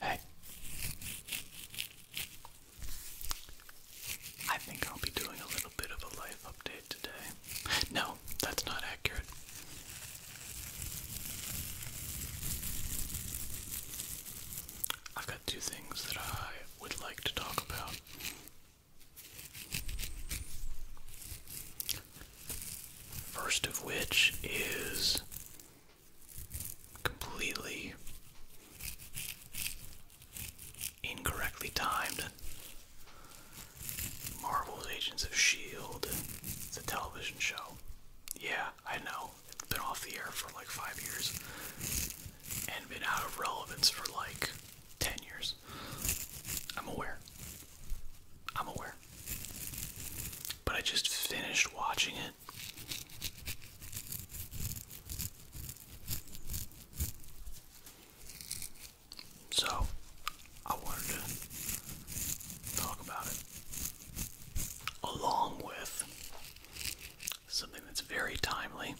Hey. I think I'll be doing a little bit of a life update today. No, that's not accurate. I've got two things that I would like to talk about. First of which is completely incorrectly timed. Marvel's Agents of S.H.I.E.L.D., the television show. Yeah, I know. It's been off the air for like five years and been out of relevance for like 10 years. I'm aware. I'm aware. But I just finished watching so, I wanted to talk about it along with something that's very timely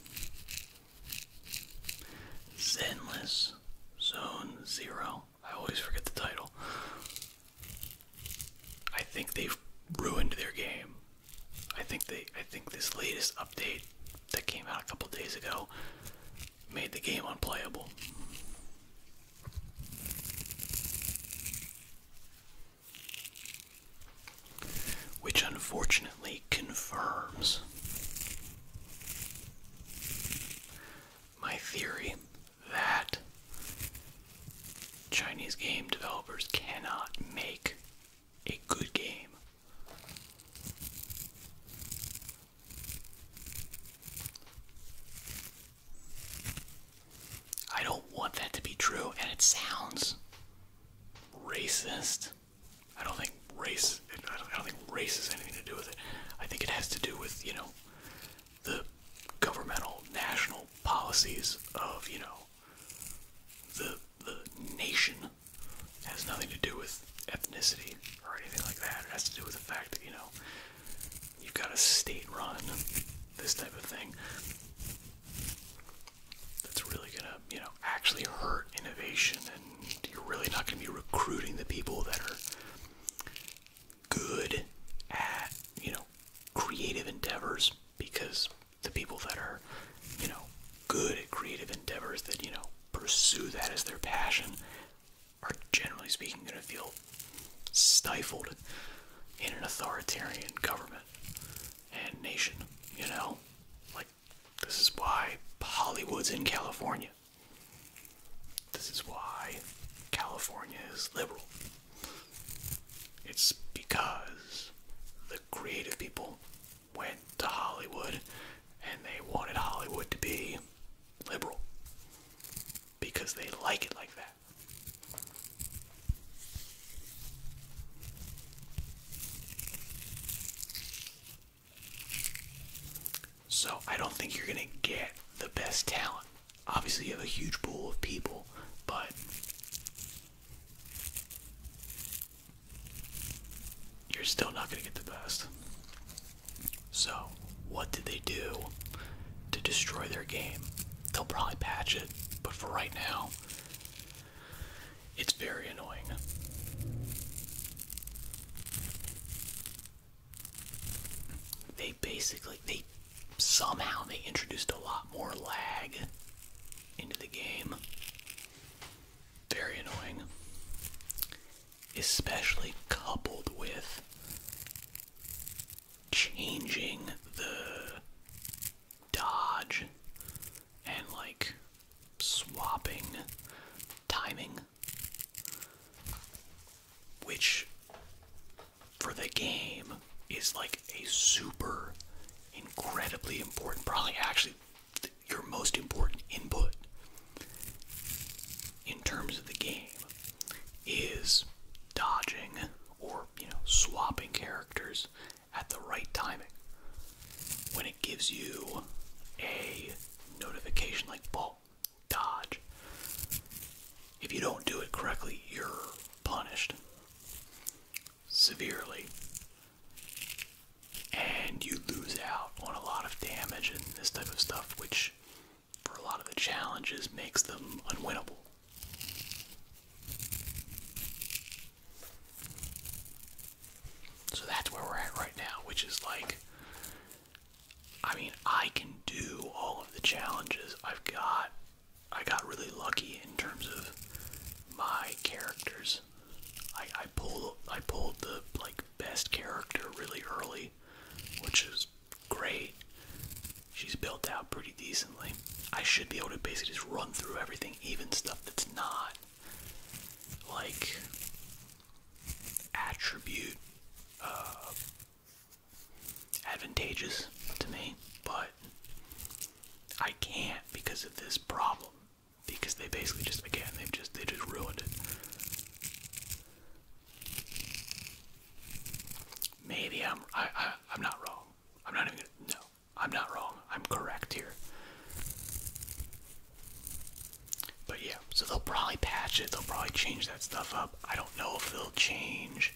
Zenless Zone Zero. I always forget the title. I think they've ruined their game. I think they I think this latest update that came out a couple days ago made the game unplayable. Which unfortunately confirms my theory that Chinese game developers cannot make a good game. I don't want that to be true, and it sounds racist. I don't think race. I don't, I don't think race has anything to do with it. I think it has to do with you know the governmental national policies of, you know, the the nation has nothing to do with ethnicity or anything like that. It has to do with the fact that, you know, you've got a state run, this type of thing. That's really gonna, you know, actually hurt innovation and you're really not gonna be recruiting the people that are good at you know, creative endeavors because the people that are, you know, good at creative endeavors that, you know, pursue that as their passion are generally speaking going to feel stifled in an authoritarian government and nation, you know? Like, this is why Hollywood's in California. This is why California is liberal. It's because the creative people went to Hollywood and they wanted Hollywood to be liberal because they like it like that. So I don't think you're going to get the best talent Obviously, you have a huge pool of people, but you're still not going to get the best. So, what did they do to destroy their game? They'll probably patch it, but for right now, it's very annoying they basically they somehow they introduced a lot more lag into the game. Very annoying. Especially coupled with changing the dodge and like swapping timing which for the game is like a super incredibly important probably actually your most important input in terms of the game is dodging or you know swapping characters at the right timing when it gives you a notification like ball dodge. If you don't do it correctly, you're punished severely. And you lose out on a lot of damage and this type of stuff, which for a lot of the challenges makes them unwinnable. So that's where we're at right now, which is like I mean, I can do all of the challenges I've got. I got really lucky in terms of my characters. I, I pulled I pulled the like best character really early, which is great. She's built out pretty decently. I should be able to basically just run through everything, even stuff that's not like attribute uh, advantageous to me, but I can't because of this problem. Because they basically just began. they've just they just ruined it. Maybe I'm I, I I'm not wrong. I'm not even gonna, no. I'm not wrong. I'm correct here. But yeah, so they'll probably patch it. They'll probably change that stuff up. I don't know if they'll change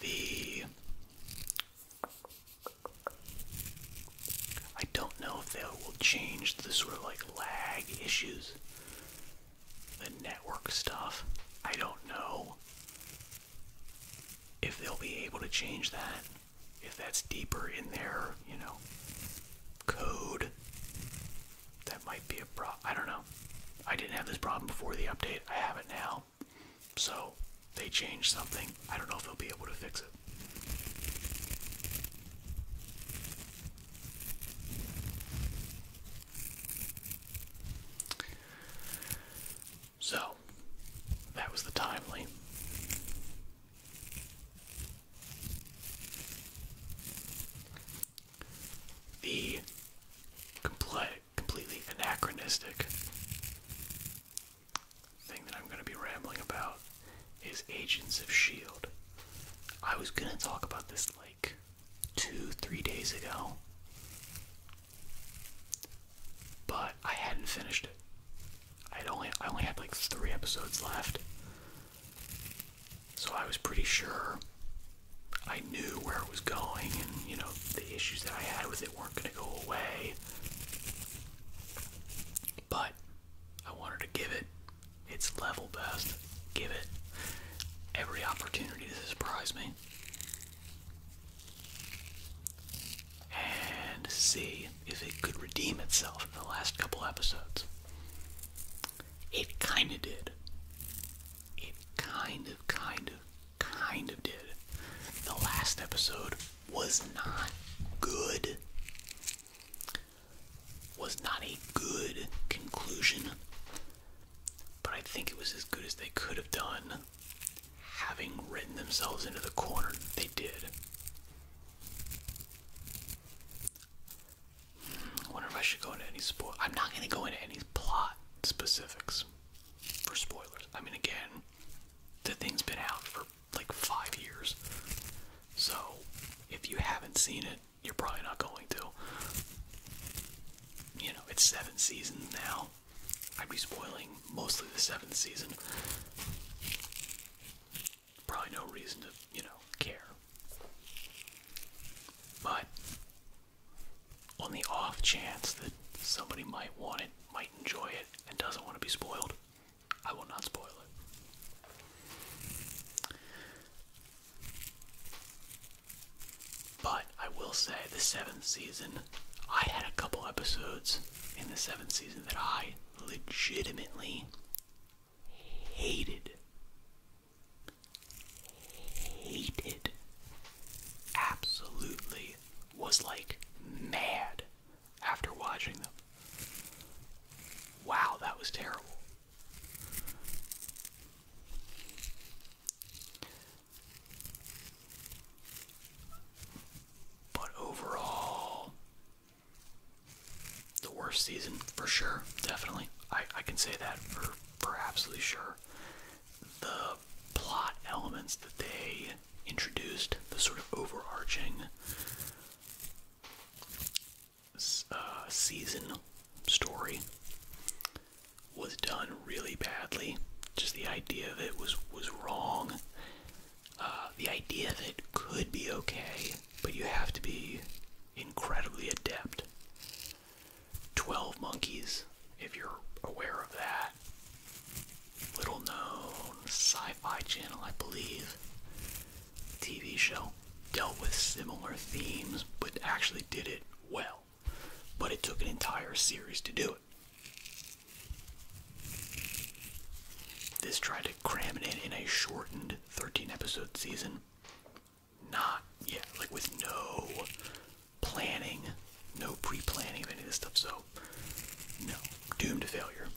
the. I don't know if they will change the sort of like lag issues, the network stuff. I don't know if they'll be able to change that, if that's deeper in their, you know, code. That might be a problem. I don't know. I didn't have this problem before the update. I have it now. So they changed something. I don't know if they'll be able to fix it. So that was the timely the completely anachronistic thing that I'm going to be rambling about is Agents of S.H.I.E.L.D. I was going to talk about this like two, three days ago, but I hadn't finished it. i only, I only had like three episodes left, so I was pretty sure I knew where it was going, and you know, the issues that I had with it weren't going to go away. But I wanted to give it its level best, give it every opportunity to surprise me, and see if it could redeem itself in the last couple episodes. It kind of did. It kind of, kind of, kind of did. The last episode was not good. Was not a good conclusion. But I think it was as good as they could have done, having written themselves into the corner they did. I wonder if I should go into any spoil. I'm not going to go into any plot specifics for spoilers. I mean, again, the thing's been out for like five years. So, if you haven't seen it, you're probably not going to. You know, it's seven seasons now. I'd be spoiling mostly the seventh season probably no reason to, you know, care. But on the off chance that somebody might want it, might enjoy it, and doesn't want to be spoiled, I will not spoil it. But I will say the seventh season, I had a couple episodes in the seventh season that I legitimately hated, hated, absolutely was like mad after watching them. Wow, that was terrible. But overall, the worst season for sure, definitely. I, I can say that for, for absolutely sure. The plot elements that they introduced, the sort of overarching uh, season story, was done really badly. Just the idea of it was was wrong. Uh, the idea that it could be okay but you have to be incredibly adept. 12 Monkeys, if you're aware of that. Little known sci fi channel, I believe. TV show dealt with similar themes, but actually did it well. But it took an entire series to do it. This tried to cram it in in a shortened 13 episode season. Not yet, like with no planning, no pre planning of any of this stuff. So, no, doomed to failure.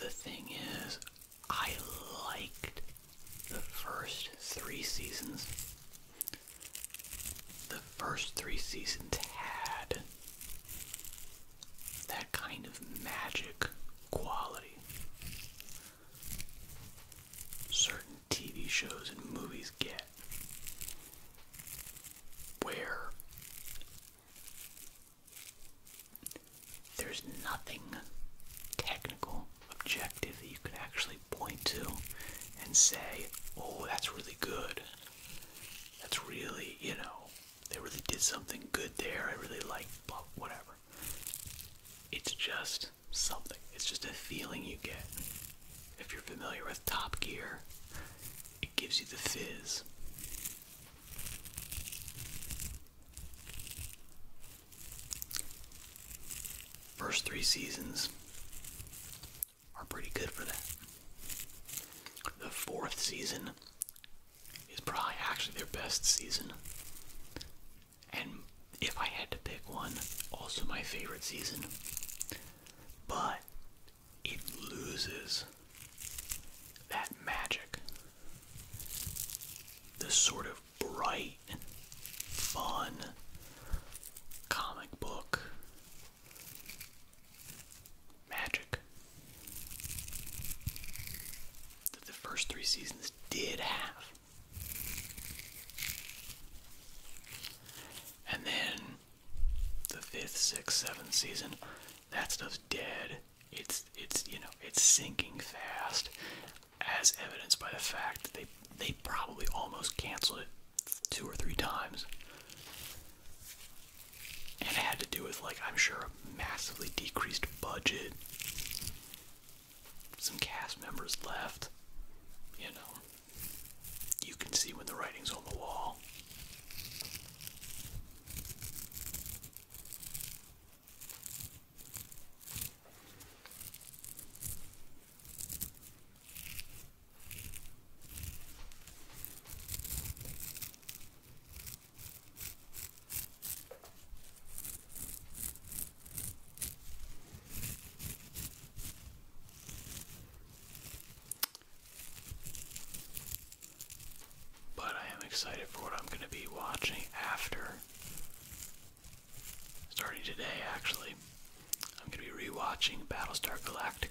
The thing is, I liked the first three seasons. The first three seasons had that kind of magic quality. Certain TV shows and movies get where there's nothing technical, objective that you could actually point to and say, oh, that's really good. That's really, you know, they really did something good there. I really like, blah, whatever. It's just something. It's just a feeling you get. If you're familiar with Top Gear, it gives you the fizz. First three seasons are pretty good for that. The fourth season is probably actually their best season. And if I had to pick one, also my favorite season. But it loses that magic. The sort of bright, fun comic book magic that the first three seasons did have. And then the fifth, sixth, seventh season, that stuff's dead. It's it's you know, it's sinking fast as evidenced by the fact that they they probably almost canceled it two or three times. And it had to do with, like, I'm sure a massively decreased budget. Some cast members left. You know, you can see when the writing's on the wall. But I am excited for what I'm going to be watching after. Starting today, actually, I'm going to be rewatching Battlestar Galactica.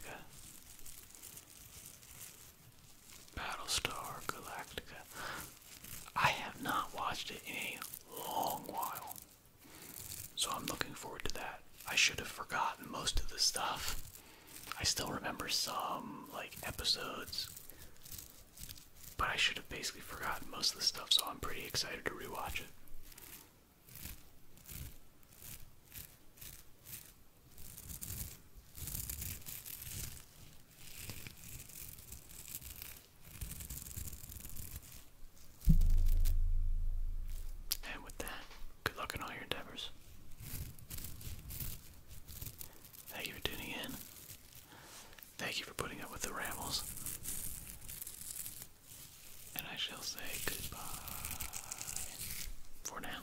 Battlestar Galactica. I have not watched it in a long while. So I'm looking forward to that. I should have forgotten most of the stuff. I still remember some, like, episodes. But I should have basically forgotten most of the stuff, so I'm pretty excited to rewatch it. And with that, good luck in all your endeavors. Thank you for tuning in. Thank you for putting up with the rambles. And I shall say goodbye for now.